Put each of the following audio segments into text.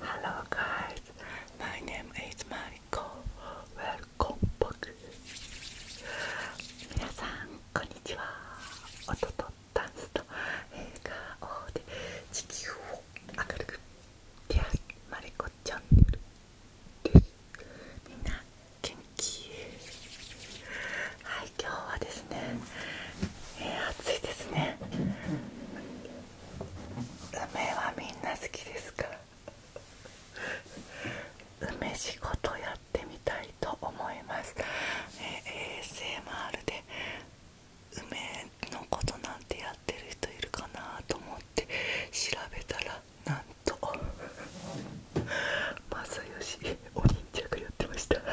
Hello guys, my name is Michael. Welcome back. 皆さんこんにちは。音とダンスと映画をで地球を明るくケアマリコチャンみんな元気はい今日はですね、えー、暑いですね梅はみんな好きですか梅仕事やってみたいと思います、えー、ASMR で梅のことなんんやってる人いるかなと思って調べたらなんと 正義お忍着やってました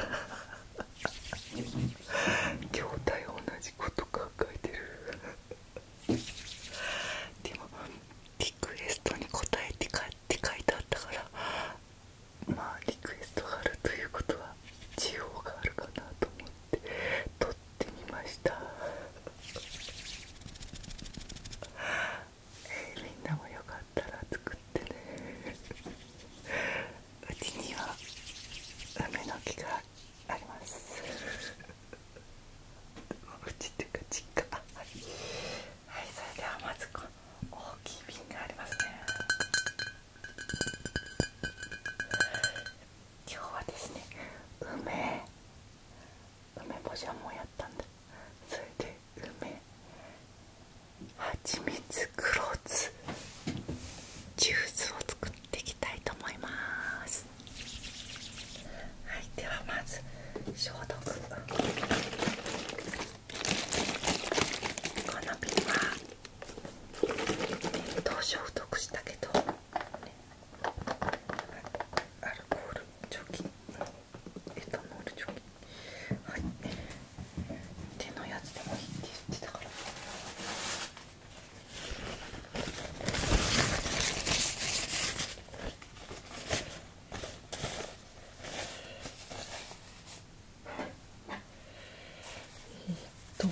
兄弟同じこと考えてるでもリクエストに答えてかって書いてあったからまあリクエストがあるということは地方があるかなと思って。撮ってみましたみんなもよかったら作ってねうちには梅の木がありますうちっていうかちっあはい、はい、それではまずこの大きい瓶がありますね今日はですね梅梅干しはもうやったんだそれで梅蜂蜜黒酢ジュースを作っていきたいと思いますはいではまず消毒この瓶は冷凍消毒したけどアルコール除菌エタノール除菌はい手のやつでもいいって言ってたからえっと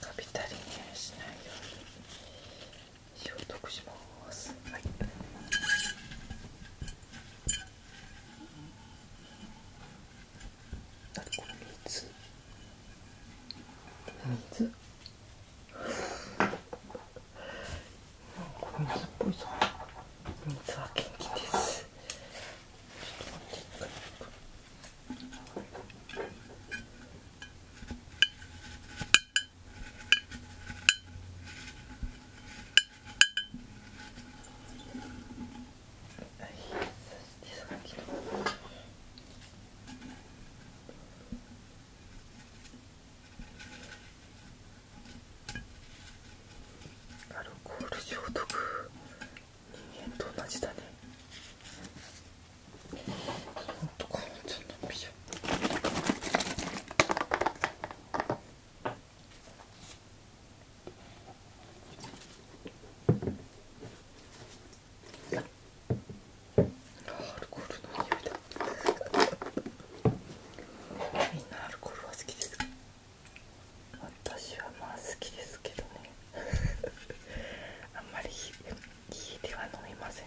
カビたりにしないように消毒します。はい。あこれ水水なんか水っぽいぞ水は元気ですアルコール消毒人間と同じだねほんとかおんちゃんの美女アルルコーのいだ。みんなアルコールは好きです私はまあ好きですけどね あんまり家では飲みません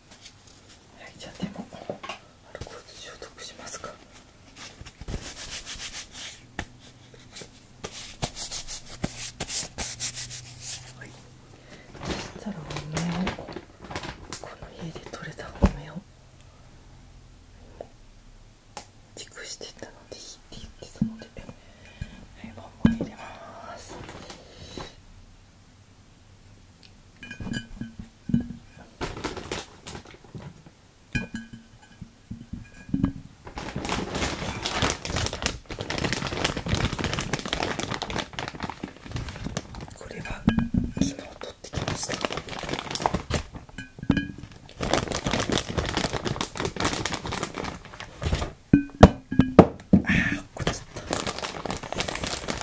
はいじゃあでもアルコール消毒しますかはいそしたらお米をこの家で取れたお米を熟してたのでいって言ってたのではいボンボン入れます。これは昨日取ってきましたああこっちだった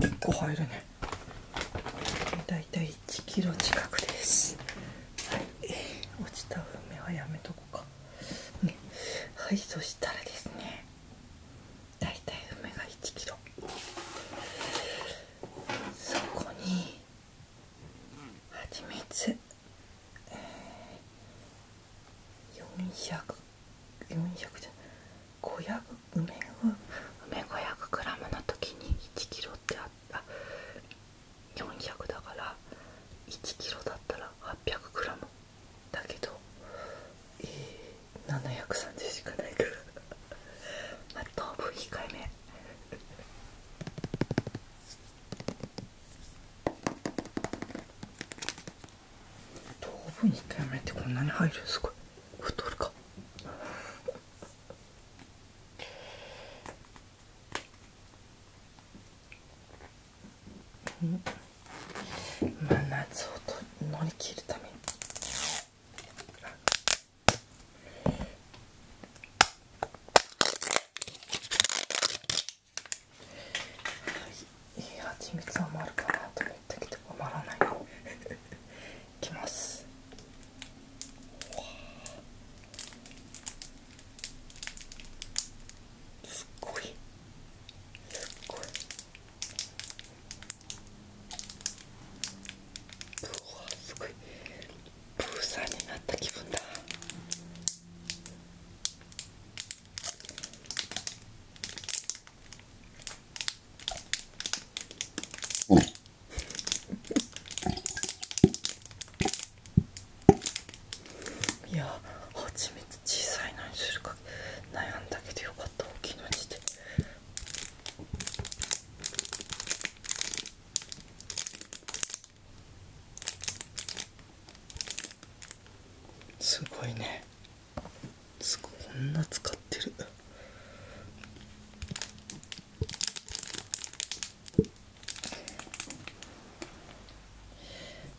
結構入るねだいたい1キロ近くですはい落ちた梅はやめとこうかはいそしたらですねだいたい梅が1キロそこに蜂蜜。400 400じゃ500梅梅 500g の時に 1kg ってあった400だから 1kg だったら 800g だけど、え730しかないからまあ当分控えめ糖分控えめってこんなに入るすごい太るかうんま夏をと乗り切るためにはいいはちみつ余るかなと思って、けど余らない いきますすっごいすっごいうわすごいプーさんになった気分だいやはちみ小さいのにするか悩んだけどよかった大きいので。してすごいねすごいこんな使ってる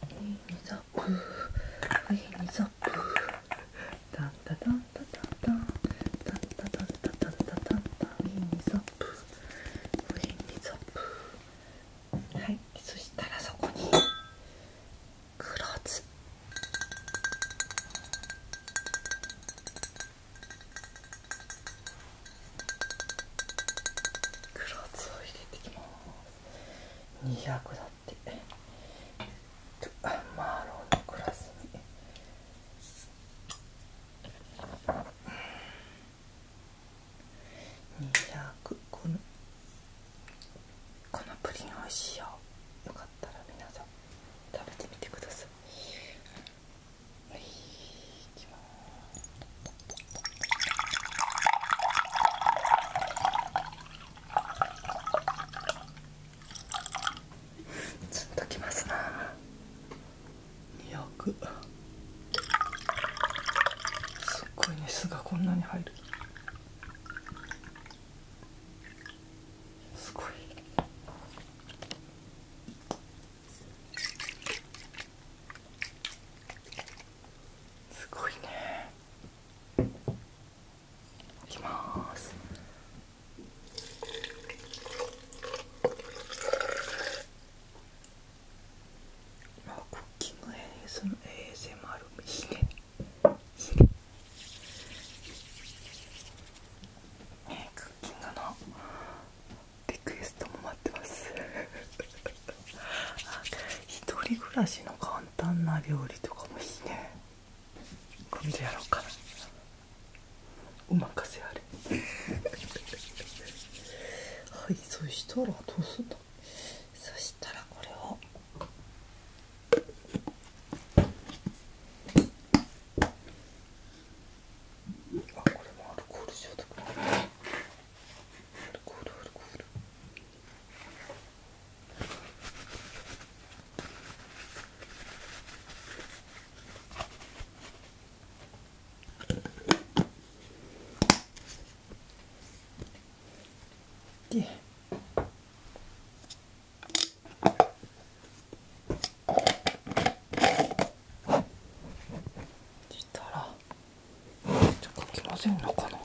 上にザップ上にザップタンタタンタタンタンタンタんンタんンタんンタい、にザップい、にザぷ。プはいそしたらそこに黒酢黒酢を入れていきます200だってマーロンのグラスに。200このこのプリン美味しいよよかったら皆さん食べてみてくださいはいいきますずっときますな200すっごいね巣がこんなに入るすごいすごいねいきますまあ、クッキング ASMR もいいもあるしねクッキングのリクエストも待ってますあ、一人暮らしの簡単な料理とかもいいね今度やろうかなお任せあれはいそしたらどうすんだそしたらこれをあこれもアルコール消毒アルコールアルコールでしたらちょっとかき混ぜるのかな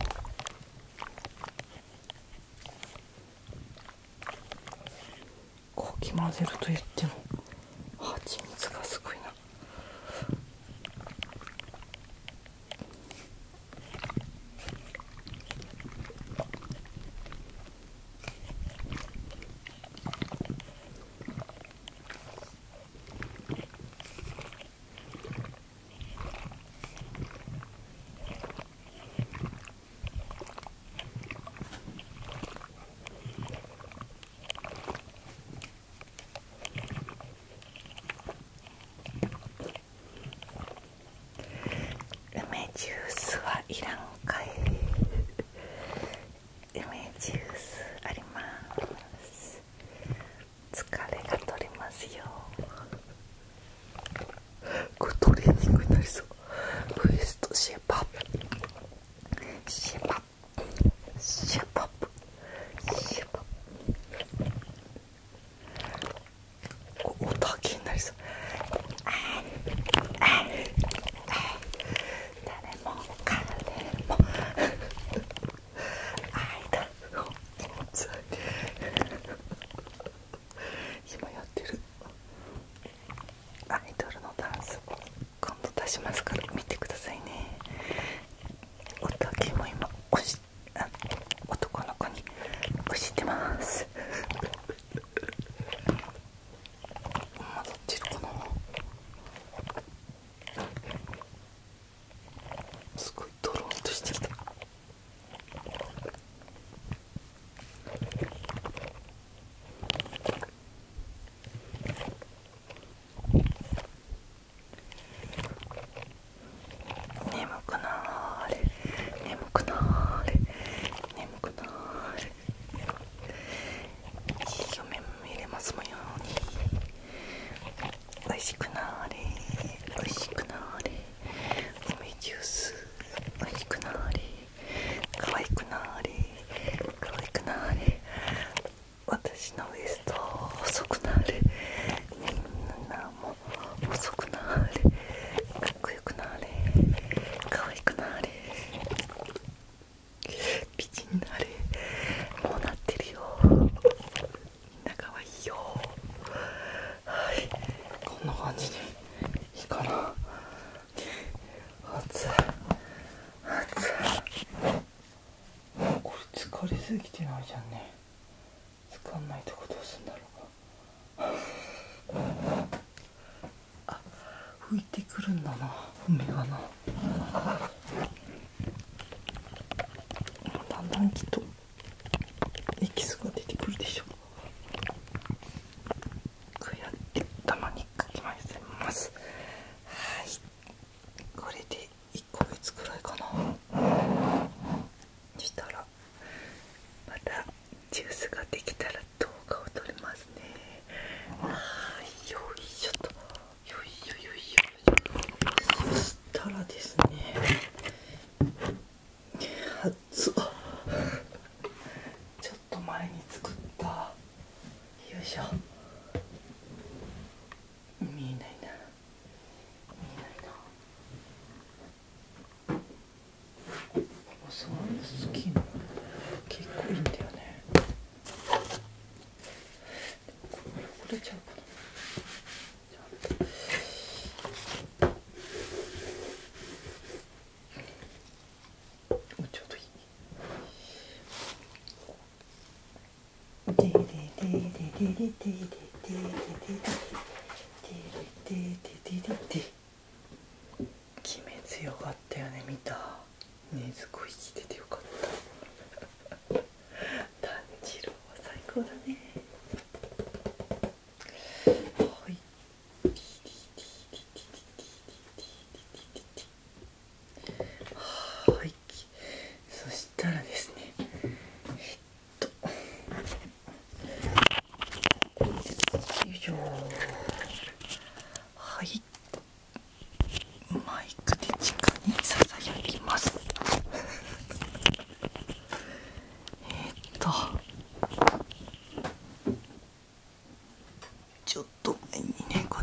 かき混ぜると言っても蜂蜜がすごいな。梅ジュースはいらんかい梅ジュースあります疲れがとれますよこれトレーニングになりそうウエストシェパシェパシュポップシュポップ音は気になりそうああい。い。誰も彼もあい。だ。気持ち間い。今やってるアイドルのダンスを今度出しますから見てくださいねおたけも今押しあ男の子に押してます今どっちのかなすごいドローンとしちゃった眠くなーれ眠くなーれ眠くなーれ一い目も入れますもようにおいしくなーれおいしくなーれ梅ジュースおいしくなーれ可愛くなーれ可愛くなーれ私のウエスト細くなーれみんなも細くなーれかっこよくなーれ可愛くなーれ美人になれもうなってるよみんな可愛いよはいこんな感じでいいかな熱い熱いこれ疲れすぎてないじゃんね使んないとこどうすんだろうかあ拭いてくるんだな梅がなだんだんきっとエキスが出てくるでしょうくやって頭にかきますはいこれで1ヶ月くらいかなしたらまたジュースができたら動画を撮りますねはいよいしょとよいよよいしょそしたらですね熱っちょっと前に作ったよいしょ見えないな見えないなサンスキーン結構いいんだよねこれ汚れちゃうかなじちょよし。もうちょっといい。鬼滅よかったよね見たねずこ生きててよかった炭治郎は最高だねはいはいそしたらですねえっとよいしょはいマイクで地下にささやきます えっとちょっと前にねこ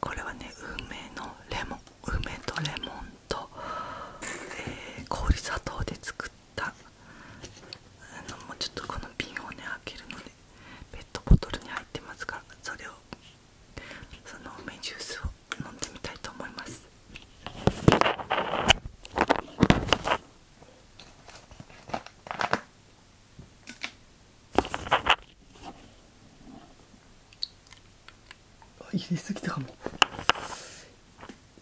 これはね梅のレモン梅とレモンと、え氷砂糖で作ったのもうちょっとこの瓶をね開けるのでペットボトルに入ってますからそれをその梅ジュースを飲んでみたいと思います。入れすぎたかも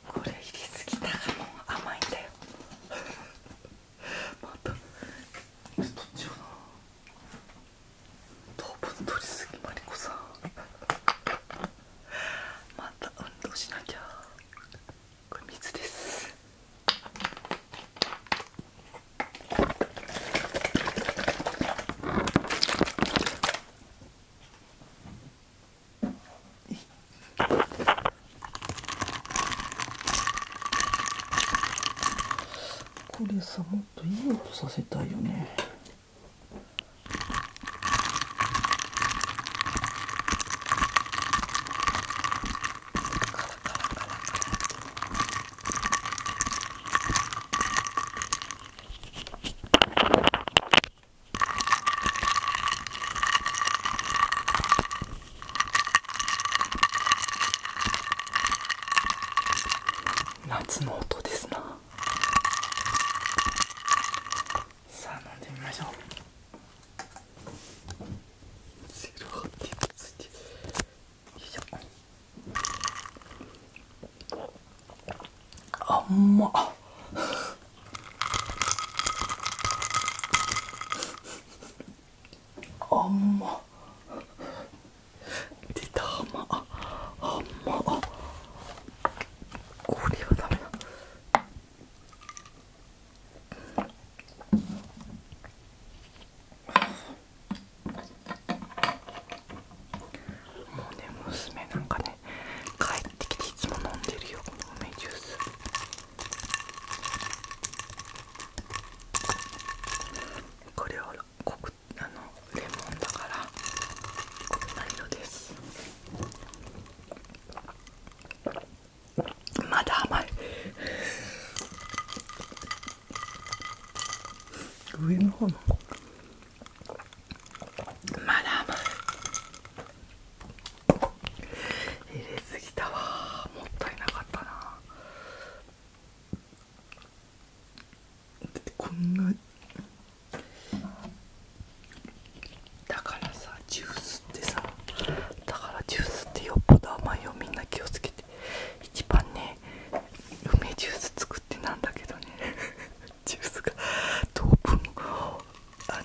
これ入れすぎたかも甘いんだよ またちっとどっな糖分取りすぎマリコさん また運動しなきゃこれですこれさもっといい音させたいよね夏の音ですなさあ飲んでみましょうセロハンテてよいしょあんまあんま出たあんまあんまこれはダメだもうね娘なんかね帰ってきていつも飲んでるよこの梅ジュースこれはこくあのレモンだからこんな色です。まだ甘い上の方の。まだ甘い入れすぎたわもったいなかったなだってこんなだからさジュースってさだからジュースってよっぽど甘いよみんな気をつけて一番ね梅ジュース作ってなんだけどね ジュースが糖分をあ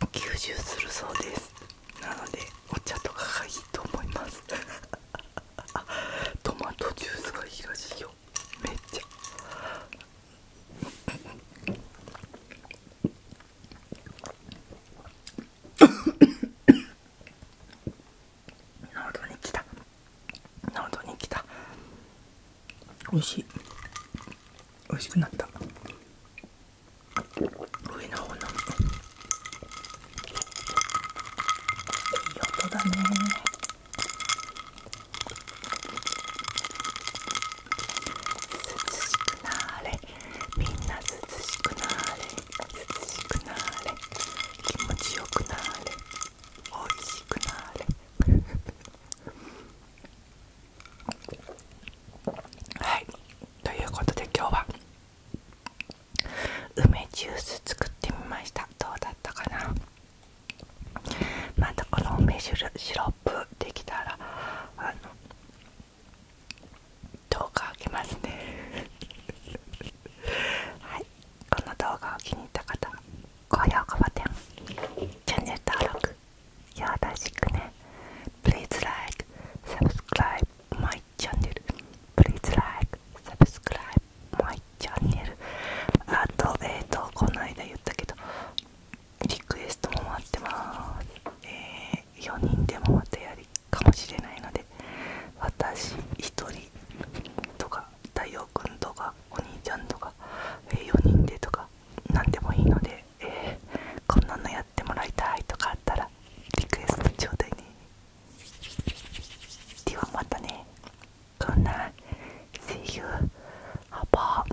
の吸収するそうですなのでお茶とかがいいと思います トマトジュースがいいらしいよめっちゃな喉にきたな喉にきた美味しい美味しくなった上の方のいい音だね涼しくなーれみんな涼しくなーれ涼しくなーれ気持ちよくなーれおいしくなーれはいということで今日は梅ジュース作ってみましたどうだったかなまたこの梅シロッできたらあの動画あげますね はいこの動画を気に入った方高評価ボタンチャンネル登録よろしくねプリ e a s e like subscribe my channel Please like s u b s あとえっ、とこの間言ったけどリクエストも待ってます、え4人でもまたやりかもしれないので私1人とか太陽くんとかお兄ちゃんとか、え4人でとか何でもいいので、こんなのやってもらいたいとかあったらリクエストちょうだいねではまたねこんな See you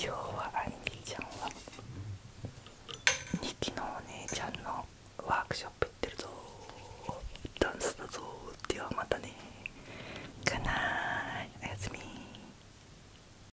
今日はアイミーちゃんは日記のお姉ちゃんのワークショップ行ってるぞダンスだぞではまたねかなーいおやすみ